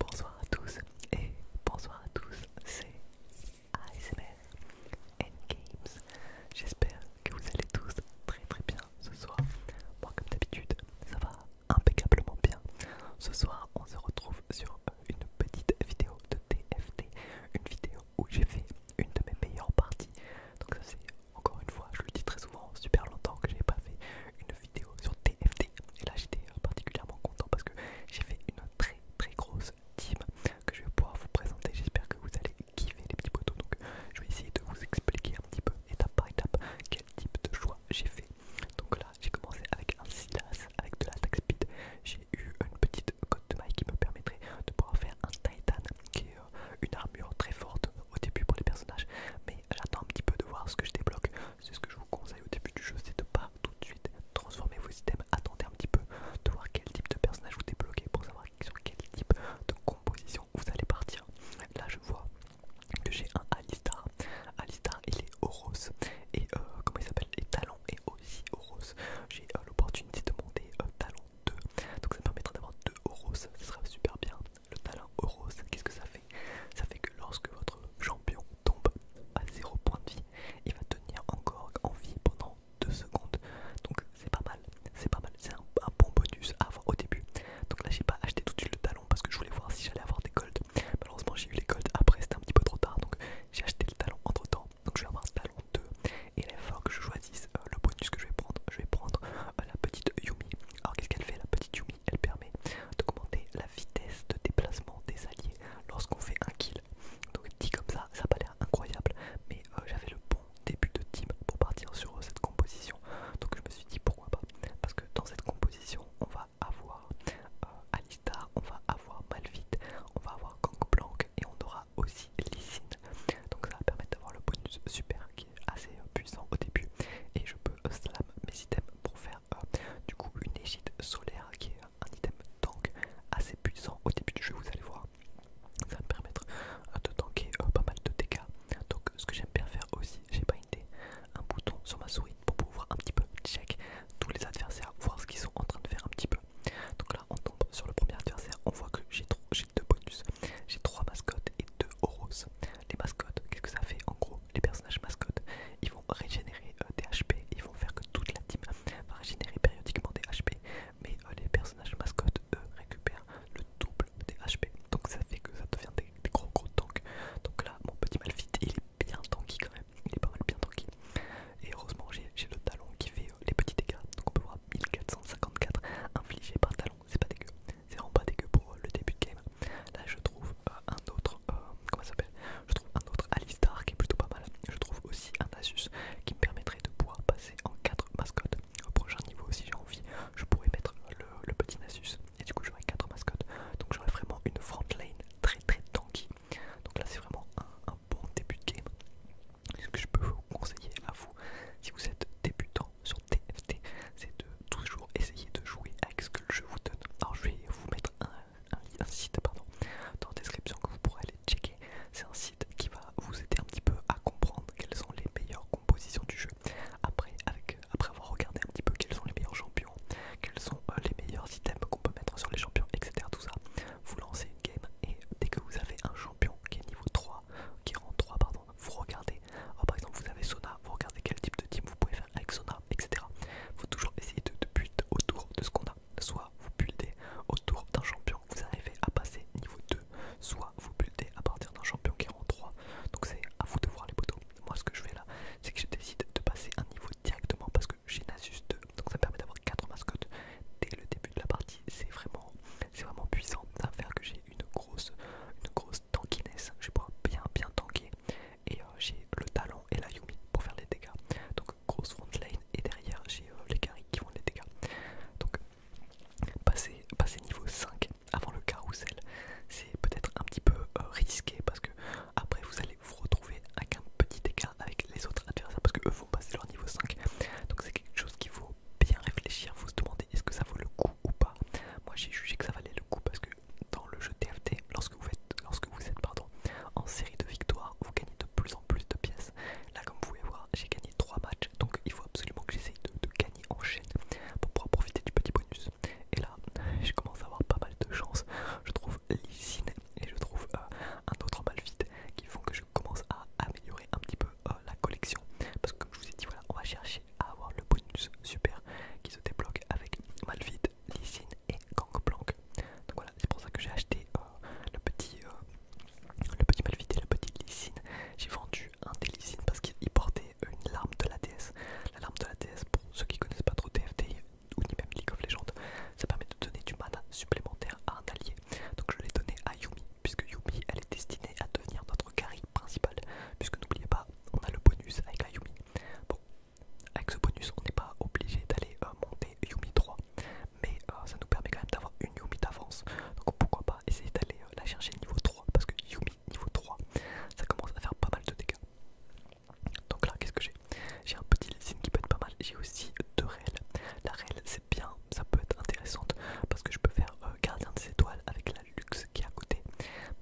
Bonsoir à tous et bonsoir à tous, c'est ASMR Endgames. J'espère que vous allez tous très très bien ce soir. Moi comme d'habitude, ça va impeccablement bien. Ce soir, on se retrouve sur une petite vidéo de TFT, une vidéo où j'ai fait une de mes meilleures parties. Donc ça c'est encore une fois, je le dis très souvent, super longtemps que j'ai pas fait une vidéo sur TFT. Et là, j'étais particulièrement content parce que j'ai fait une très très grosse team que je vais pouvoir vous présenter. J'espère que vous allez kiffer les petits poteaux. Donc, je vais essayer de vous expliquer un petit peu étape par étape quel type de choix j'ai fait. Donc là, j'ai commencé avec un Silas, avec de la tax speed. J'ai eu une petite cote de maille qui me permettrait de pouvoir faire un Titan qui est une armure très forte au début pour les personnages, mais j'attends un petit peu de voir ce que je débloque. C'est ce que je vous conseille au début du jeu, c'est de pas tout de suite transformer vos items, attendez un petit peu de voir quel type de personnage vous débloquez pour savoir sur quel type de composition vous allez partir. Là je vois que j'ai un Alistar. Alistar il est Horos et euh, comment il s'appelle Et Talon est aussi Horos. J'ai euh, l'opportunité de monter un euh, Talon 2. Donc ça me permettra d'avoir 2 euros, ce sera super bien. Le talent euros, qu'est-ce que ça fait Ça fait que lorsque votre champion tombe à 0 points de vie, il va tenir encore en vie pendant 2 secondes. Donc c'est pas mal, c'est pas mal, c'est un, bon bonus à avoir au début. Donc là j'ai pas acheté tout de suite le talon parce que je voulais voir si j'allais avoir des golds. Malheureusement j'ai eu les golds après, c'était un petit peu trop tard, donc j'ai acheté le talon entre temps. Donc je vais avoir le talon 2 et il que je choisisse euh, le bonus que je vais prendre. Je vais prendre la petite Yumi. Alors qu'est-ce qu'elle fait La petite Yumi, elle permet d'augmenter la vitesse de déplacement des alliés lorsqu'on fait un kill. Donc dit comme ça, ça n'a pas l'air incroyable, mais euh, j'avais le bon début de team pour partir sur euh, cette composition. Donc je me suis dit pourquoi pas Parce que dans cette composition, on va avoir euh, Alistar, on va avoir Malphite, on va avoir Gangplank et on aura aussi signes, Donc ça va permettre d'avoir le bonus super qui est assez euh, puissant au début. Et je peux euh, slam mes items pour faire euh, du coup une égide solaire qui est un item tank assez puissant au début du jeu, vous allez voir. Ça va me permettre de tanker pas mal de dégâts. Donc ce que j'aime bien faire aussi, j'ai pas un bouton sur ma souris pour pouvoir un petit peu check tous les adversaires, voir ce qu'ils sont en train de faire un petit peu. Donc là on tombe sur le premier adversaire, on voit que j'ai deux bonus, j'ai trois mascottes, et de horos. Les mascottes, qu'est-ce que ça fait En gros, les personnages mascottes, ils vont régénérer euh, des HP, ils vont faire que toute la team va régénérer périodiquement des HP, mais euh, les personnages mascottes, eux, récupèrent le double des HP. Donc ça fait que ça devient des, gros gros tanks. Donc là, mon petit Malfit, il est bien tanky quand même, il est pas mal bien tanky. Et heureusement, j'ai le talon qui fait euh, les petits dégâts, donc on peut voir 1454 infligés par talon c'est pas dégueu, c'est vraiment pas dégueu pour euh, le début de game. Là je trouve euh, un autre, euh, comment ça s'appelle Je trouve un autre Alistar qui est plutôt pas mal. Je trouve aussi un Asus qui me permettrait de pouvoir passer en 4 mascottes. Au prochain niveau si j'ai envie, je pourrais mettre le, petit Asus et du coup j'aurai 4 mascottes. Donc j'aurai vraiment une front lane très très tanky. Donc là c'est vraiment un bon début de game ce que je peux vous conseiller à vous si vous êtes débutant sur TFT, c'est de toujours essayer de jouer avec ce que le jeu vous donne. Alors je vais vous mettre un, site pardon, dans la description que vous pourrez aller checker. C'est un site qui va vous aider un petit peu à comprendre quelles sont les meilleures compositions du jeu. Après, après avoir regardé un petit peu quels sont les meilleurs champions, quels sont euh, les meilleurs items qu'on peut mettre sur les champions, etc. Tout ça, vous lancez une game et dès que vous avez un champion qui est niveau 3, qui est en 3 pardon, vous regardez. Oh, par exemple, vous avez Sona, vous regardez quel type de team vous pouvez faire avec Sona, etc. Faut toujours essayer de, de autour de ce qu'on a. Soit vous butez autour d'un champion, vous arrivez à passer niveau 2, soit vous butez à partir d'un champion qui est en 3. Donc c'est à vous de voir les poteaux. Moi ce que je fais là, c'est que je décide de passer un niveau directement parce que j'ai Nasus 2, donc ça permet d'avoir 4 mascottes dès le début de la partie. C'est vraiment, c'est vraiment puissant. Ça faire que j'ai une grosse, une grosse tankiness, je vais pouvoir bien bien tanker et euh, j'ai le talent et la Yumi pour faire les dégâts. Donc grosse front lane et derrière j'ai euh, les carrés qui font les dégâts. Donc passer, passer niveau 5 avant le carrousel, c'est peut-être un petit peu euh, risqué parce que après vous allez vous retrouver avec un petit dégât avec les autres adversaires parce que eux vont passer leur niveau 5. Donc c'est quelque chose qui faut bien réfléchir, vous se demandez est-ce que ça vaut le coup ou pas. Moi j'ai jugé que ça valait le coup parce que dans le jeu TFT, lorsque vous êtes, lorsque vous êtes pardon, en série de victoires, vous gagnez de plus en plus de pièces. Là comme vous pouvez voir, j'ai gagné 3 matchs, donc il faut absolument que j'essaye de, gagner en chaîne pour pouvoir profiter du petit bonus. Et là, je commence à avoir pas mal de chance. Je trouve l'isine et je trouve euh, un autre malvite qui font que je commence à améliorer un petit peu euh, la collection parce que comme je vous ai dit voilà on va chercher à avoir le bonus super qui se débloque avec Malvide, Lysine et Gangplank. Donc voilà c'est pour ça que j'ai acheté euh, le petit euh, le petit Malvide et le petit Lysine. J'ai vendu un des Lysines parce qu'il portait une larme de la déesse La larme de la déesse, pour ceux qui connaissent pas trop TFT ou ni même League of Legends, ça permet de donner du mana supplémentaire à un allié. Donc je l'ai donné à Yumi puisque Yumi elle est destinée à devenir notre carry principal, puisque n'oubliez pas, on a le bonus avec la Yumi. Bon, avec ce bonus, on n'est pas obligé d'aller euh, monter Yumi 3, mais euh, ça nous permet quand même d'avoir une Yumi d'avance, donc pourquoi pas essayer d'aller euh, la chercher niveau 3, parce que Yumi niveau 3, ça commence à faire pas mal de dégâts. Donc là, qu'est-ce que j'ai J'ai un petit lessine qui peut être pas mal, j'ai aussi deux réels. La réelle, c'est bien, ça peut être intéressante, parce que je peux faire gardien des étoiles avec la luxe qui est à côté.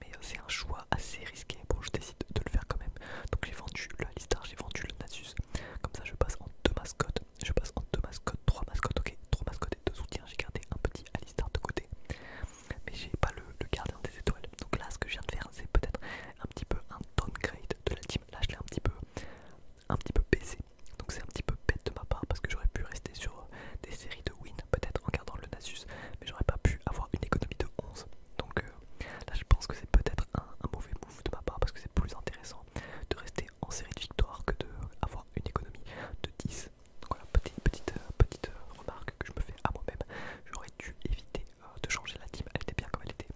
Mais euh, c'est un choix assez risqué. Bon, je décide de le faire quand même. Donc j'ai vendu le Alistar, j'ai vendu le Nasus. Comme ça, je passe en deux mascottes. Je passe en deux mascottes, trois mascottes, ok. Trois mascottes et deux soutiens. J'ai gardé un petit Alistar de côté. Mais j'ai pas le, gardé gardien des étoiles. Donc là, ce que je viens de faire, c'est peut-être un petit peu un downgrade de la team. Là, je l'ai un petit peu un petit peu baissé. Donc c'est un petit peu bête de ma part parce que j'aurais pu rester sur euh, des séries de win peut-être en gardant le Nasus, mais j'aurais pas pu avoir une économie de 11. Donc euh, là je pense que c'est peut-être un, mauvais move de ma part parce que c'est plus intéressant de rester en série de victoires que d'avoir une économie de 10. Donc voilà, petite, euh, petite, petite euh, remarque que je me fais à moi-même. J'aurais dû éviter de changer la team, elle était bien comme elle était.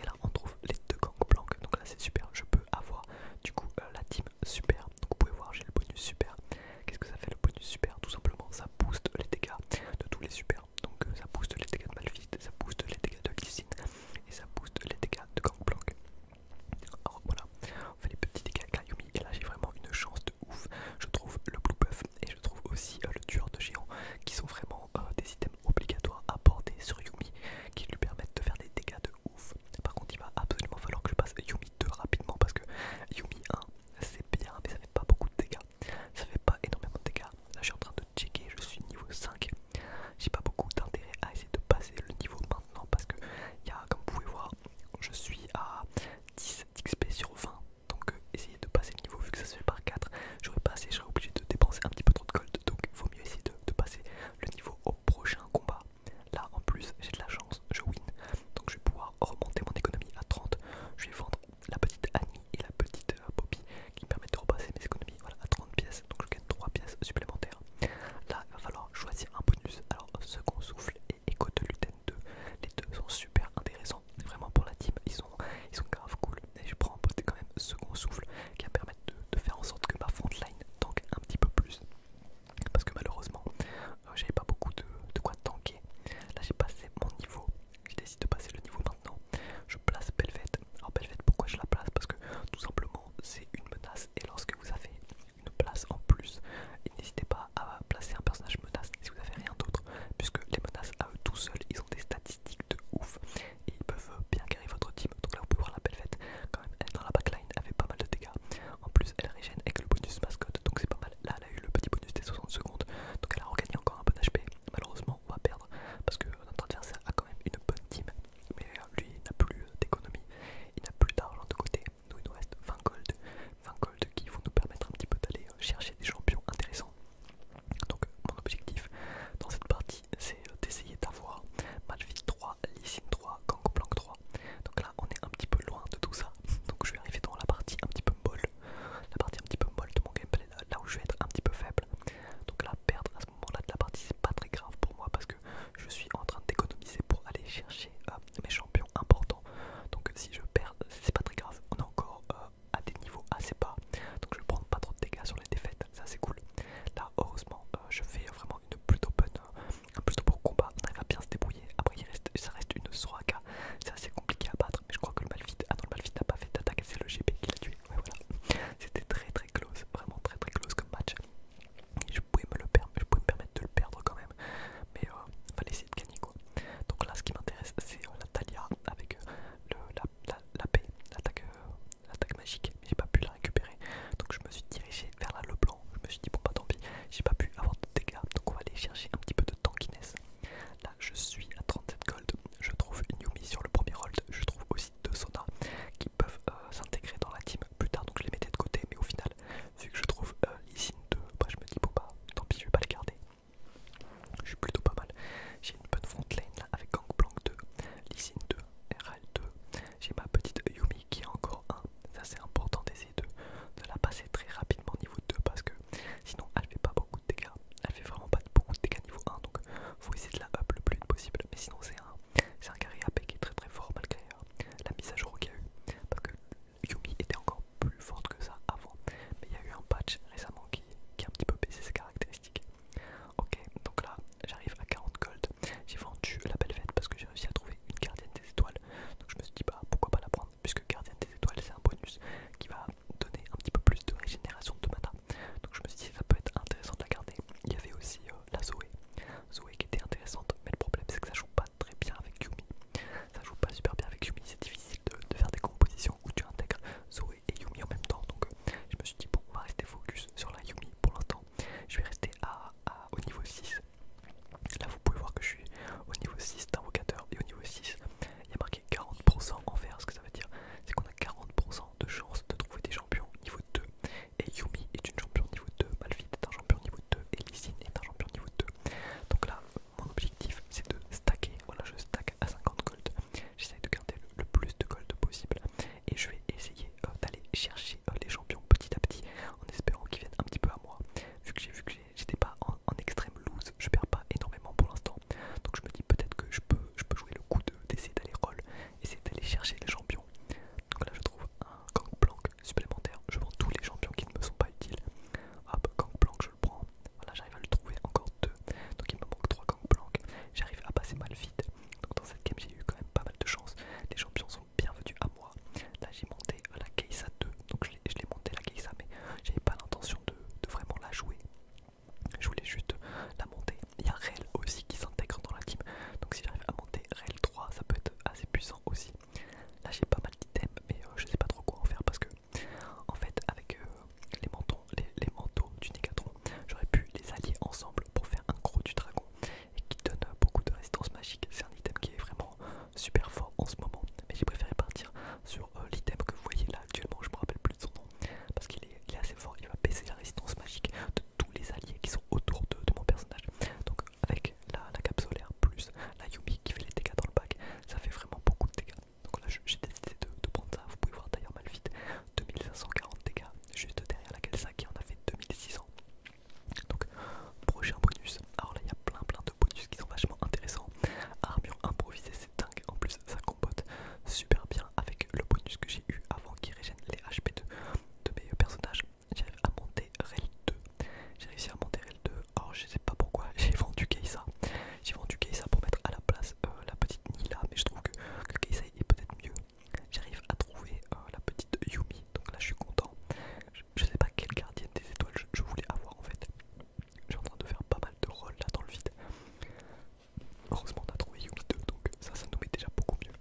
Et là on trouve les deux blancs, donc là c'est super, je peux avoir du coup la team super. Donc vous pouvez voir j'ai le bonus super Qu'est-ce que ça fait le bonus super Tout simplement, ça booste les dégâts de tous les supers. Donc euh, ça booste les dégâts de Malphite, ça booste les dégâts de Lysine et ça booste les dégâts de Gangplank. Alors voilà, on fait les petits dégâts avec Yumi et là j'ai vraiment une chance de ouf. Je trouve le Blue Buff et je trouve aussi euh, le tueur de géant qui sont vraiment euh, des items obligatoires à porter sur Yumi qui lui permettent de faire des dégâts de ouf. Par contre, il va absolument falloir que je passe Yumi rapidement parce que Yumi 1 c'est bien mais ça fait pas beaucoup de dégâts. Ça fait pas énormément de dégâts. Là je suis en train de checker, je suis niveau 5. J'ai pas beaucoup d'intérêt à essayer de passer le niveau maintenant parce que il comme vous pouvez voir je suis à 10 XP sur 20. Donc euh, essayer de passer le niveau vu que ça se fait par 4. J'aurais pas assez, je serais obligé de dépenser un petit peu trop de gold. Donc il vaut mieux essayer de, de passer le niveau au prochain combat. Là en plus j'ai de la chance, je win. Donc je vais pouvoir remonter mon économie à 30. Je vais vendre la petite Annie et la petite Bobby, euh, qui me permettent de repasser mes économies voilà, à 30 pièces. Donc je gagne 3 pièces supplémentaires. Là il va falloir choisir un bonus. Alors second souffle et écho de l'utène 2. Les deux sont super intéressants. Vraiment pour la team, ils sont, ils sont grave cool. mais je prends quand même second souffle qui va permettre de, faire en sorte que ma line tanque un petit peu plus parce que malheureusement j'ai euh, j'avais pas beaucoup de, de quoi tanker. Là j'ai passé mon niveau, Je décide de passer le niveau maintenant. Je place Belvette. Alors Belvette pourquoi je la place Parce que tout simplement c'est une menace et lorsque vous avez une place en plus, n'hésitez pas à placer un personnage menace si vous n'avez rien d'autre, puisque les menaces à eux tout seuls ils ont des statistiques de ouf et ils peuvent bien guérir votre team. Donc là vous pouvez voir la Belvette quand même dans la backline avec pas mal de dégâts. En plus, elle régène avec le bonus mascotte, donc c'est pas mal. Là, elle a eu le petit bonus des 60 secondes, donc elle a regagné encore un peu d'HP. Malheureusement, on va perdre parce que notre adversaire a quand même une bonne team, mais euh, lui il n'a plus euh, d'économie, il n'a plus d'argent de côté. Nous, il nous reste 20 gold, 20 gold qui vont nous permettre un petit peu d'aller euh, chercher des champions intéressants. Donc, mon objectif dans cette partie, c'est d'essayer d'avoir Malphite 3, Lysine 3, Gangplank 3. Donc là, on est un petit peu loin de tout ça. Donc je vais arriver dans la partie un petit peu molle, la partie un petit peu molle de mon gameplay, là, où je vais être un petit peu faible. Donc là, perdre à ce moment-là de la partie, c'est pas très grave pour moi parce que je suis en train d'économiser pour aller chercher euh, mes champions importants. Donc si je perds, c'est pas très grave. On est encore euh, à des niveaux assez bas, donc je vais prendre pas trop de dégâts sur les défaites. Ça c'est cool. Là, heureusement, euh, je fais vraiment une plutôt bonne, plus pour combat, on arrive à bien se débrouiller. Après, il reste, ça reste une Soraka, c'est assez compliqué à battre, mais je crois que le malfit ah le n'a pas fait d'attaque, c'est le GP qui l'a tué. voilà, c'était très très close, vraiment très très close comme match. Je pouvais me, le je pouvais permettre de le perdre quand même, mais va euh, fallait essayer de gagner quoi. Donc là, ce qui m'intéresse, c'est euh, la Talia avec euh, la, paix, l'attaque magique, mais j'ai pas pu la récupérer. Donc je me suis dirigé vers la Leblanc je me suis dit, bon, bah tant pis, j'ai pas pu avoir de dégâts, donc on va aller chercher un petit peu de tankiness. Là, je suis à 37 gold, je trouve une Yumi sur le premier hold, je trouve aussi deux Sona qui peuvent euh, s'intégrer dans la team plus tard, donc je les mettais de côté, mais au final, vu que je trouve l'ISIN euh, 2, bah, je me dis, bon, bah tant pis, je vais pas le garder. Je suis plutôt pas mal. J'ai une bonne front lane là avec Gangplank 2, Lysine 2, RL2. J'ai ma petite Yumi qui est encore un. Ça c'est important d'essayer de, la passer très rapidement niveau 2 parce que sinon elle fait pas beaucoup de dégâts. Elle fait vraiment pas beaucoup de dégâts niveau 1 donc faut essayer de la up le plus possible. Mais sinon c'est un, un carré AP qui est très très fort malgré euh, la mise à jour qu'il y a eu. Parce que Yumi était encore plus forte que ça avant. Mais il y a eu un patch récemment qui, a un petit peu baissé ses caractéristiques. Ok donc là j'arrive à 40 gold. J'ai vendu la belle fête parce que j'ai réussi à trouver une gardienne des étoiles. Donc je me suis dit bah pourquoi pas la prendre puisque gardien des étoiles c'est un bonus qui va donner un petit peu plus de régénération de mana. Donc je me suis dit ça peut être intéressant de la garder. Il y avait aussi euh, la Zoé. Zoé qui était intéressante, mais le problème c'est que ça joue pas très bien avec Yumi. Ça joue pas super bien avec Yumi, c'est difficile de, faire des compositions où tu intègres Zoé et Yumi en même temps. Donc euh, je me suis dit bon on va rester focus sur la Yumi pour l'instant. Je vais rester au niveau 6 Là vous pouvez voir que je suis au niveau 6 d'invocateur et au niveau 6 il y a marqué 40% en vert. Ce que ça veut dire c'est qu'on a 40% de chance de trouver des champions niveau 2. Et Yumi est une champion niveau 2, Malphite est un champion niveau 2 et Lysine est un champion niveau 2. Donc là mon objectif c'est de stacker, voilà je stack à 50 gold, j'essaie de garder le, plus de gold possible et je vais essayer euh, d'aller chercher euh, les champions petit à petit en espérant qu'ils viennent un petit peu à moi vu que j'ai vu que j'étais pas en, extrême loose, je perds pas énormément pour l'instant. Donc je me dis peut-être que je peux, je peux jouer le coup d'essayer d'aller roll, et essayer d'aller chercher les champions. Donc là je trouve un gangplank supplémentaire, je vends tous les champions qui ne me sont pas utiles. Hop, gangplank je le prends, voilà j'arrive à le trouver encore deux. Donc il me manque trois gangplank, j'arrive à passer mal vite. Donc dans cette game j'ai eu quand même pas mal de chance, les champions sont bienvenue à moi. Là j'ai monté la Keisa 2, donc je l'ai monté la Keisa mais j'avais pas l'intention de, vraiment la jouer. Je voulais juste la monter. Il y a Rel aussi qui s'intègre dans la team. Donc si j'arrive à monter Rel 3 ça peut être assez puissant aussi. Là j'ai pas mal d'items mais euh, je sais pas trop quoi en faire parce que en fait avec euh, les, mentons, les, manteaux du Négatron j'aurais pu les allier ensemble pour faire un gros du dragon et qui donne beaucoup de résistance magique. C'est un item qui est vraiment super fort en ce moment. Mais j'ai préféré partir sur euh, l'item que vous voyez là actuellement, je me rappelle plus de son nom, parce qu'il est, assez fort, il va baisser la résistance magique de tous les alliés qui sont autour de, mon personnage. Donc avec la, cape solaire plus la Yumi qui fait les dégâts dans le pack, ça fait vraiment beaucoup de dégâts. Donc là j'ai décidé de, prendre ça, vous pouvez voir d'ailleurs vite 2540 dégâts, juste derrière la Kelsa qui en a fait 2600. Donc, prochain bonus. Alors là, il y a plein plein de bonus qui sont vachement intéressants. Armure improvisée, c'est dingue. En plus, ça compote super bien avec le bonus que j'ai eu avant qui régène les HP de, de mes personnages. J'arrive à monter REL 2. J'ai réussi à monter REL 2. or je sais pas pourquoi j'ai vendu Keisa. J'ai vendu Keisa pour mettre à la place euh, la petite Nila, mais je trouve que, que Keisa est peut-être mieux. J'arrive à trouver euh, la petite Yumi, donc là je suis content je, sais pas quelle gardienne des étoiles je, voulais avoir en fait. Je suis en train de faire pas mal de rôles là dans le vide. Heureusement on a trouvé Yumi 2 donc ça ça nous met déjà beaucoup mieux.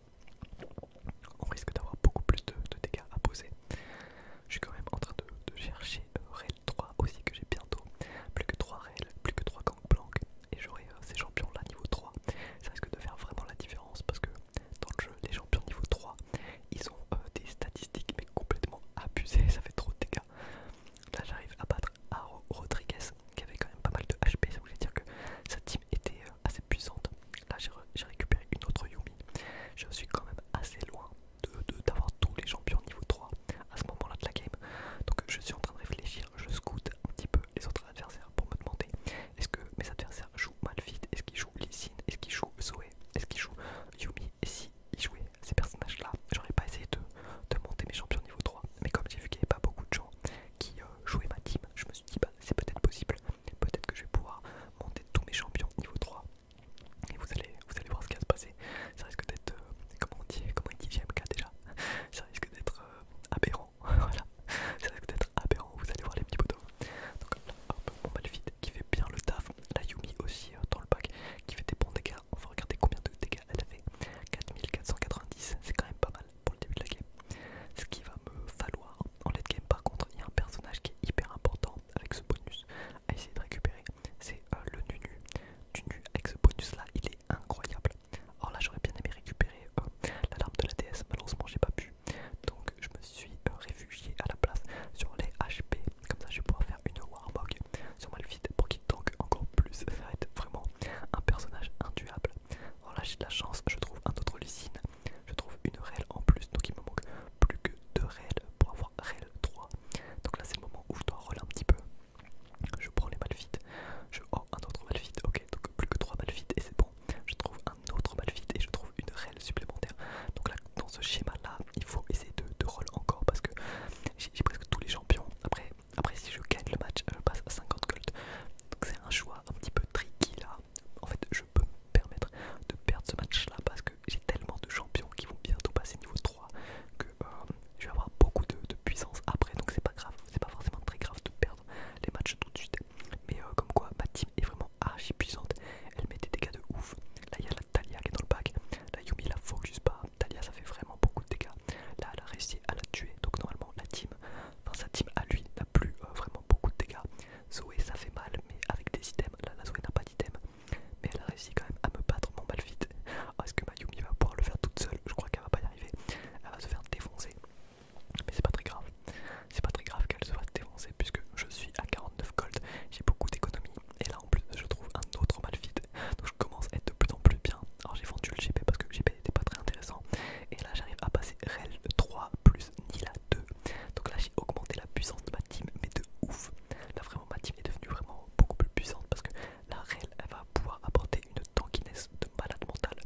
On risque d'avoir beaucoup plus de, dégâts à poser. Je suis quand même en train de, chercher euh, Rail 3 aussi que j'ai bientôt. Plus que 3 Rail, plus que 3 Gangplank et j'aurai euh, ces champions là niveau 3. Ça risque de faire vraiment la différence parce que dans le jeu les champions niveau 3 ils ont euh, des statistiques mais complètement abusé, ça fait trop de dégâts. Là j'arrive à battre Aro Rodriguez qui avait quand même pas mal de HP, ça voulait dire que sa team était euh, assez puissante. Là j'ai récupéré une autre Yumi, je suis quand même assez loin d'avoir tous les champions niveau 3 à ce moment là de la game. Donc je suis en train de réfléchir, je scoute un petit peu les autres adversaires pour me demander est-ce que mes adversaires jouent Malphite, est-ce qu'ils jouent Lysine, est-ce qu'ils jouent Zoé, est-ce qu'ils jouent Yumi, et si ils jouaient ces personnages là, j'aurais pas essayé de, monter mes champions niveau 3. Mais comme j'ai vu qu'il n'y avait pas beaucoup de gens qui euh, jouaient ma team, je me suis dit bah c'est peut-être possible, peut-être que je vais pouvoir monter tous mes champions niveau 3. Et vous allez, vous allez voir ce qui va se passer. Ça risque d'être, euh, comment on dit, comment on dit GMK déjà Ça risque d'être euh, aberrant, voilà. Ça risque d'être aberrant, vous allez voir les petits poteaux. Donc un bon qui fait bien le taf. La Yumi aussi euh, dans le pack qui fait des bons dégâts. On va regarder combien de dégâts elle a fait. 4490, c'est quand même pas mal pour le début de la game. Ce qui va me falloir en late game par contre, il y a un personnage qui est hyper important avec ce bonus à essayer de récupérer. C'est euh, le Nunu. Nunu avec ce bonus là, il est incroyable. Or là j'aurais bien aimé récupérer euh, la larme de la DS, malheureusement j'ai pas pu. Donc je me suis euh, réfugié à la place sur les HP. Comme ça, je vais pouvoir faire une Warbog sur Malphite pour qu'il tank encore plus. Ça va être vraiment un personnage induable. Alors là, j'ai de la chance, je trouve un autre Lucine. Je trouve une REL en plus, donc il me manque plus que deux REL pour avoir REL 3. Donc là, c'est le moment où je dois relancer un petit peu. Je prends les Malphites, je. Oh, un autre Malphite, ok, donc plus que trois Malphites et c'est bon. Je trouve un autre Malphite et je trouve une rel supplémentaire. Donc là, dans ce schéma-là, il faut essayer de, de roll encore parce que j'ai presque tous les champions. Après, après, si je gagne le match, je passe à 50 gold. c'est un choix un petit peu tricky là. En fait, je peux me permettre de perdre ce match-là parce que j'ai tellement de champions qui vont bientôt passer niveau 3 que euh, je vais avoir beaucoup de, puissance après. Donc c'est pas grave, c'est pas forcément très grave de perdre les matchs tout de suite. Mais euh, comme quoi, ma team est vraiment archi puissante. Elle met des dégâts de ouf. Là, il y Talia qui est dans le pack. La Yumi la focus pas. Talia ça fait vraiment beaucoup de dégâts. Là elle a réussi à la tuer. Donc normalement la team, sa team à lui n'a plus euh, vraiment beaucoup de dégâts. Zoé ça fait mal mais avec des items. Là la Zoé n'a pas d'item. Mais elle a réussi quand même à me battre mon mal vite. Ah, est-ce que ma va pouvoir le faire toute seule Je crois qu'elle va pas y arriver. Elle va se faire défoncer. Mais c'est pas très grave. C'est pas très grave qu'elle se fasse défoncer puisque je suis à 40% 9 gold, j'ai beaucoup d'économies. Et là en plus je trouve un autre vide donc je commence à être de plus en plus bien. Alors j'ai vendu le GP parce que le GP n'était pas très intéressant. Et là j'arrive à passer REL 3 plus Nila 2. Donc là j'ai augmenté la puissance de ma team, mais de ouf. Là vraiment ma team est devenue vraiment beaucoup plus puissante parce que la REL elle va pouvoir apporter une tankiness de malade mentale.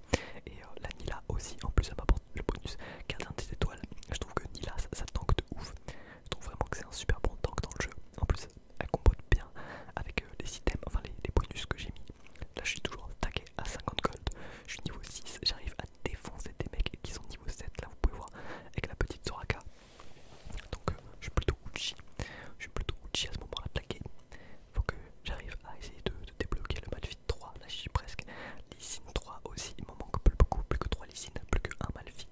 Et euh, la Nila aussi, en plus elle m'apporte le bonus 4 des étoiles. Je trouve que Nila ça, ça tank de ouf. Je trouve vraiment que c'est un super bon tank dans le jeu. En plus, elle compote bien avec euh, les items, enfin les, bonus que j'ai mis. Là, je suis toujours tagué à 50 gold. Je suis niveau 6, j'arrive à défoncer des mecs qui sont niveau 7. Là, vous pouvez voir avec la petite Soraka. Donc, euh, je suis plutôt Uchi. Je suis plutôt Uchi à ce moment-là, Il Faut que j'arrive à essayer de, débloquer le Malphite 3. Là, je suis presque. Lysine 3 aussi, il m'en manque plus beaucoup, plus que 3 Lysine, plus que 1 Malphite.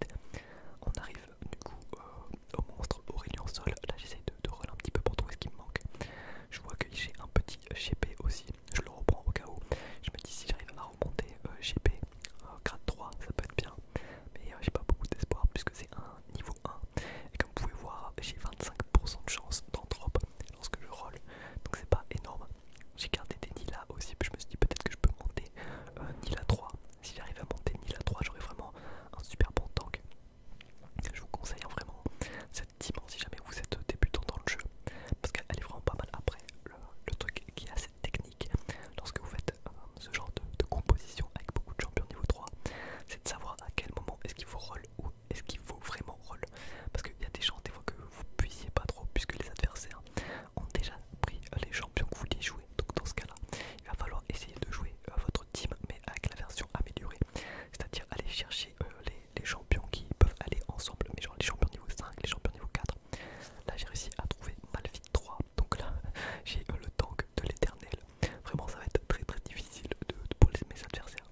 On arrive du coup euh, au monstre Aurélien Sol. Là j'essaie de, de un petit peu pour trouver ce qui me manque. Je vois que j'ai un petit GP aussi. Je le reprends au cas où. Je me dis si j'arrive à remonter euh, GP euh, grade 3, ça peut être bien. Mais j'ai pas beaucoup d'espoir puisque c'est un niveau 1. Et comme vous pouvez voir, j'ai 25% de chance d'en lorsque je roll. Donc c'est pas énorme. J'ai gardé des nids là aussi. Puis je me suis dit peut-être que je peux monter euh, ni la Nila 3. Si j'arrive à monter ni la 3, j'aurai vraiment un super bon tank. Je vous conseille hein, vraiment cette dimension si jamais vous êtes débutant dans le jeu, parce qu'elle est vraiment pas mal. Après, le, truc qui est assez technique lorsque vous faites euh, ce genre de, composition avec beaucoup de champions niveau 3, c'est de savoir à quel moment est-ce qu'il faut roll ou est-ce qu'il faut vraiment roll. Parce qu'il y a des chances des fois que vous puissiez pas trop, puisque les adversaires ont déjà pris les champions que vous voulez jouer. Donc dans ce cas-là, il va falloir essayer de jouer euh, votre team, mais avec la version améliorée. C'est-à-dire aller chercher euh, les, champions qui peuvent aller ensemble, mais genre les champions niveau 5, les champions niveau 4. Là j'ai réussi à trouver Malphite 3, donc là j'ai euh, le tank de l'éternel. Vraiment ça va être très très difficile pour les, mes adversaires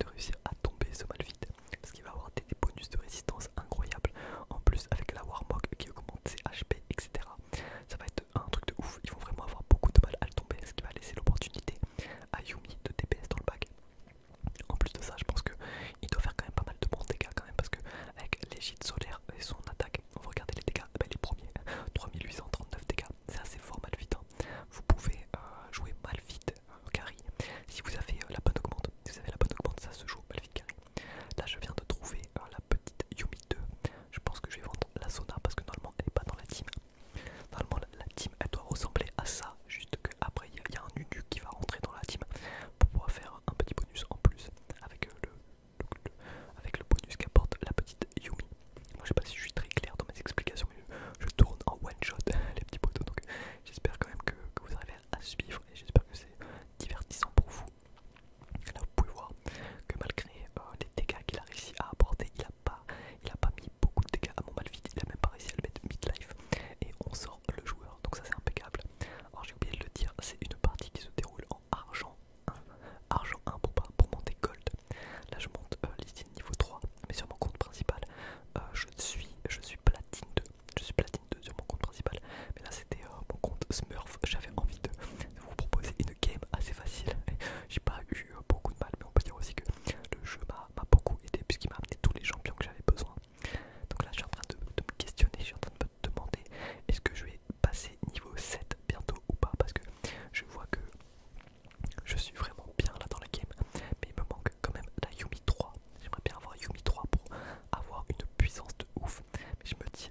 de réussir à tomber ce Malphite. Parce qu'il va avoir des, bonus de résistance incroyables. En plus avec la Warmog qui augmente ses HP etc ça va être un truc de ouf. Ils vont vraiment avoir beaucoup de mal à le tomber, ce qui va laisser l'opportunité à Yumi de DPS dans le bac. En plus de ça, je pense qu'il doit faire quand même pas mal de bons dégâts quand même parce que avec l'égide solaire et son attaque, on va les dégâts, eh ben, les premiers, 3839 dégâts, c'est assez fort Malphite. Hein. Vous pouvez euh, jouer Malphite carré euh, si vous avez euh, la bonne augmente. Si vous avez la bonne augmente, ça se joue Malphite carry. Là, je viens de trouver hein, la petite Yumi 2. Je pense que je vais vendre la Sona parce que normalement elle n'est pas dans la team. Normalement, la, team elle doit ressembler à ça. Juste qu'après, il y, a un Nunu qui va rentrer dans la team pour pouvoir faire un petit bonus en plus euh, avec le, bonus qu'apporte la petite Yumi. Moi, je sais pas si je suis très clair dans mes explications, mais je, tourne en one shot les petits poteaux donc j'espère quand même que, que vous arrivez à suivre et j'espère que c'est divertissant pour vous Là vous pouvez voir que malgré euh, les dégâts qu'il a réussi à apporter, il n'a pas, pas mis beaucoup de dégâts à mon malvite, il a même pas réussi à le mettre midlife et on sort le joueur, donc ça c'est impeccable. Alors j'ai oublié de le dire, c'est une partie qui se déroule en argent 1, argent 1 pour, pas, pour monter gold. Là je monte euh, niveau 3, mais sur mon compte principal, euh, je, suis, je suis platine 2, je suis platine de, sur mon compte principal. Mais là, c'était euh, mon compte Smurf. J'avais envie de, vous proposer une game assez facile. J'ai pas eu euh, beaucoup de mal, mais on peut dire aussi que le jeu m'a beaucoup aidé puisqu'il m'a amené tous les champions que j'avais besoin. Donc là, je suis en train de, me questionner, je suis en train de me demander est-ce que je vais passer niveau 7 bientôt ou pas parce que je vois que je suis vraiment bien là dans la game, mais il me manque quand même la Yumi 3. J'aimerais bien avoir Yumi 3 pour avoir une puissance de ouf, mais je me dis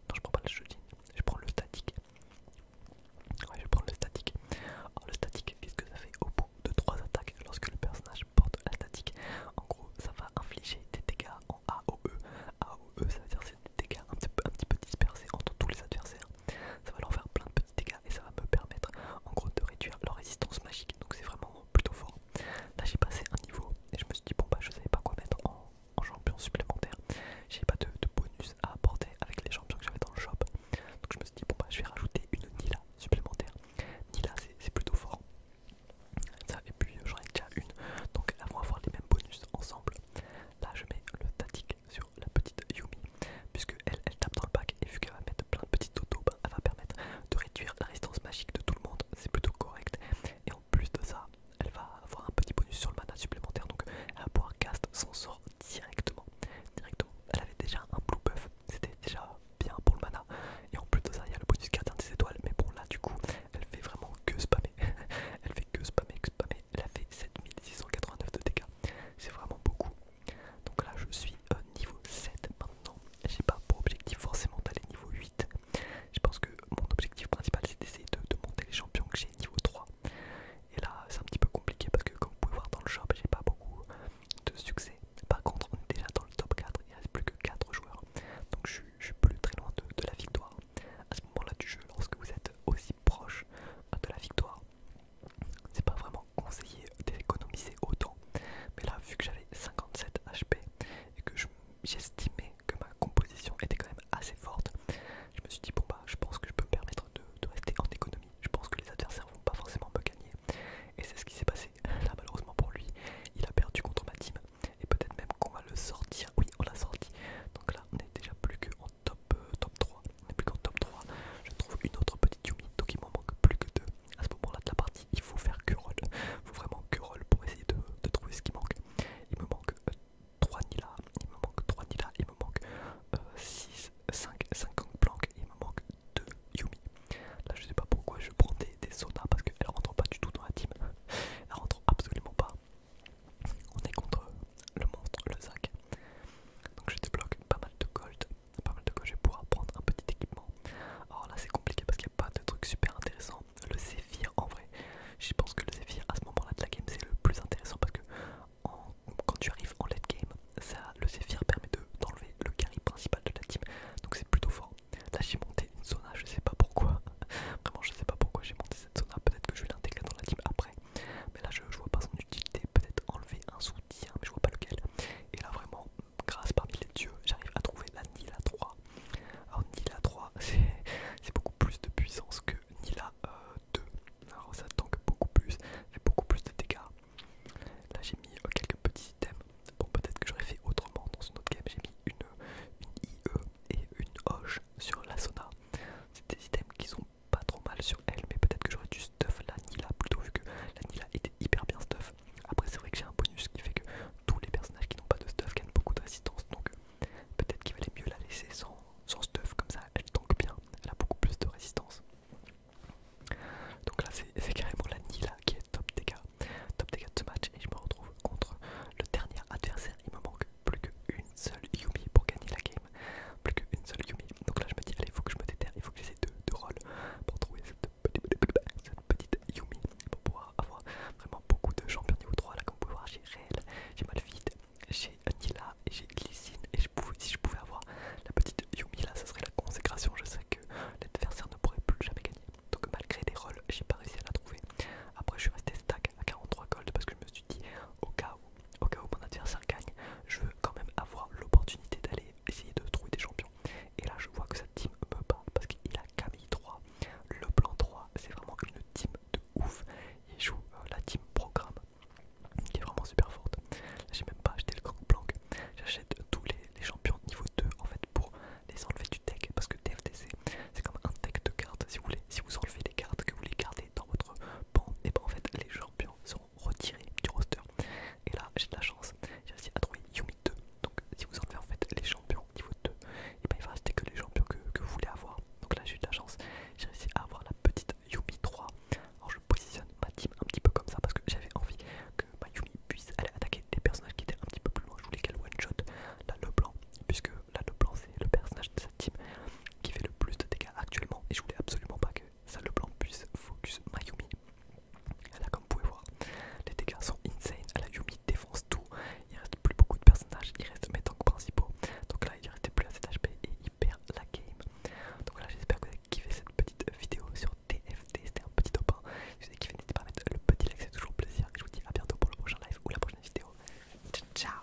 non, je prends pas le jeudi, je prends le statique. Ouais, je prends le statique. Alors, oh, le statique, qu'est-ce que ça fait au bout de trois attaques lorsque le personnage porte la statique En gros, ça va infliger des dégâts en AOE. AOE, ça veut dire c'est des dégâts un petit, un petit peu dispersés entre tous les adversaires. Ça va leur faire plein de petits dégâts et ça va me permettre en gros de réduire leur résistance magique. Donc, c'est vraiment plutôt fort. Là, j'ai passé un niveau et je me suis dit, bon, bah, je savais pas quoi mettre en en champion supplémentaire, J'ai pas de, bonus à apporter avec les champions que j'avais dans le shop. Donc je me suis dit, bon bah je vais rajouter une Nila supplémentaire. Nila c'est plutôt fort. Ça, et puis euh, j'en ai déjà une. Donc elles vont avoir les mêmes bonus ensemble. Là je mets le Tatic sur la petite Yumi. Puisque elle, elle tape dans le pack et vu qu'elle va mettre plein de petites auto elle va permettre de réduire la résistance magique de tout le monde. C'est plutôt correct. Et plus de ça, elle va avoir un petit bonus sur le mana supplémentaire, donc elle va pouvoir cast son sort directement. directement. Elle avait déjà un blue buff, c'était déjà bien pour le mana, et en plus de ça, il y a le bonus gardien des étoiles, mais bon, là du coup, elle fait vraiment que spammer. elle fait que spammer, que spammer, elle a fait 7689 de dégâts, c'est vraiment beaucoup. Donc là, je suis au euh, niveau 7 maintenant, j'ai pas pour objectif forcément d'aller niveau 8 je pense que mon objectif principal c'est d'essayer de, monter les champions que j'ai niveau 3. Et là c'est un petit peu compliqué parce que comme vous pouvez voir dans le shop j'ai pas beaucoup de succès. Par contre on est déjà dans le top 4, il reste plus que 4 joueurs. Donc je, suis plus très loin de, de la victoire. À ce moment-là du jeu, lorsque vous êtes aussi proche de la victoire, c'est pas vraiment conseillé d'économiser autant. Mais là vu que j'avais 57 HP et que je j'estimais que ma composition était quand même assez forte. Je me suis dit, bon bah, je pense que je peux me permettre de, rester en économie. Je pense que les adversaires vont pas forcément me gagner. Et c'est ce qui s'est passé. Là, malheureusement pour lui, il a perdu contre ma team. Et peut-être même qu'on va le sortir. Oui, on l'a sorti. Donc là, on est déjà plus qu'en top, euh, top 3. On est plus qu'en top 3. Je trouve une autre petite Yumi. Donc il m'en manque plus que deux. À ce moment-là de la partie, il faut faire que Il faut vraiment que pour essayer de, trouver ce qui manque. Il me manque manque 3 euh, Nila, il me manque 3 Nila, il me manque 6, 5, 5 Gangplank, il me manque 2 Yumi. Là je sais pas pourquoi je prends des, saunas parce qu'elle rentre pas du tout dans la team, elle rentre absolument pas. On est contre le monstre, le sac Donc je débloque pas mal de gold, pas mal de gold, je vais pouvoir prendre un petit équipement. Alors là c'est compliqué parce qu'il n'y a pas de trucs super intéressant le zéphyr, en vrai. Je pense que le Zephyr à ce moment-là de la game c'est le plus intéressant parce que quand tu arrives en late game, ça, le zéphyr permet d'enlever le carry principal de la team. Donc c'est plutôt fort. Là j'ai monté une zona, je sais pas pourquoi. Vraiment je sais pas pourquoi j'ai monté cette zona. Peut-être que je vais l'intégrer dans la team après. Mais là je, vois pas son utilité. Peut-être enlever un soutien, mais je vois pas lequel. Et là vraiment, grâce parmi les dieux, j'arrive à trouver la Nila 3 alors Nila 3, c'est beaucoup plus de puissance que Nila 2. Euh, Alors ça tank beaucoup plus, fait beaucoup plus de dégâts. Là j'ai mis euh, quelques petits items. Bon peut-être que j'aurais fait autrement dans une autre game. J'ai mis une, IE e et une hoche sur la Sona. C'est des items qui sont pas trop mal sur elle, mais peut-être que j'aurais dû stuff la Nila plutôt vu que la Nila était hyper bien stuff. Après c'est vrai que j'ai un bonus qui fait que tous les personnages qui n'ont pas de stuff gagnent beaucoup de résistance donc Peut-être qu'il valait mieux la laisser sans, stuff, comme ça elle tank bien, elle a beaucoup plus de résistance. Donc là c'est carrément la Nila qui est top dégâts, top dégâts de ce match et je me retrouve contre le dernier adversaire. Il me manque plus qu'une seule Yumi pour gagner la game, plus qu'une seule Yumi. Donc là je me dis allez il faut que je me déterre, il faut que j'essaie de, de pour trouver cette petite, Yumi pour pouvoir avoir vraiment beaucoup de champions niveau 3 là comme vous j'ai Réel, j'ai Malphite, j'ai Nila et j'ai Glycine et je pouvais, si je pouvais avoir la petite Yumi là ça serait la consécration, je sais que l'adversaire ne pourrait plus jamais gagner. Donc malgré des rolls j'ai pas réussi à la trouver. Après je suis resté stack à 43 gold parce que je me suis dit au cas où, au cas où mon adversaire gagne, je veux quand même avoir l'opportunité d'aller essayer de trouver des champions. Et là je vois que cette team me bat parce qu'il a Camille 3, le plan 3, c'est vraiment une team de ouf. Il joue euh, la team programme qui est vraiment super forte. J'ai même pas acheté le grand blanc J'achète tous les, champions niveau 2 en fait pour les enlever du deck parce que TFTC c'est comme un deck de cartes. Si vous, voulez, si vous enlevez les cartes que vous les gardez dans votre banc, et eh ben en fait les champions sont retirés du roster. Et là j'ai de la chance, j'ai réussi à trouver Yumi 2. Donc si vous enlevez en fait les champions niveau 2, et ben, il va que les champions que, vous voulez avoir. Donc là j'ai eu de la chance, j'ai réussi à avoir la petite Yumi 3. Alors je positionne ma team un petit peu comme ça parce que j'avais envie que ma bah, Yumi puisse aller attaquer des personnages qui étaient un petit peu plus loin. Je voulais qu'elle one-shot la Leblanc, puisque la Leblanc c'est le personnage de cette team qui fait le plus de dégâts actuellement et je voulais absolument pas que ça Leblanc puisse focus ma Yumi. Là comme vous pouvez voir, les dégâts sont insane, la Yumi défonce tout, il reste plus beaucoup de personnages, il reste mes tanks principaux. Donc là, il ne restait plus assez d'HP et il perd la game. Donc là, j'espère que vous avez kiffé cette petite euh, vidéo sur TFT. C'était un petit top 1. Si vous avez kiffé, n'hésitez pas à mettre le petit like, c'est toujours plaisir. Et je vous dis à bientôt pour le prochain live ou la prochaine vidéo. Ciao, ciao!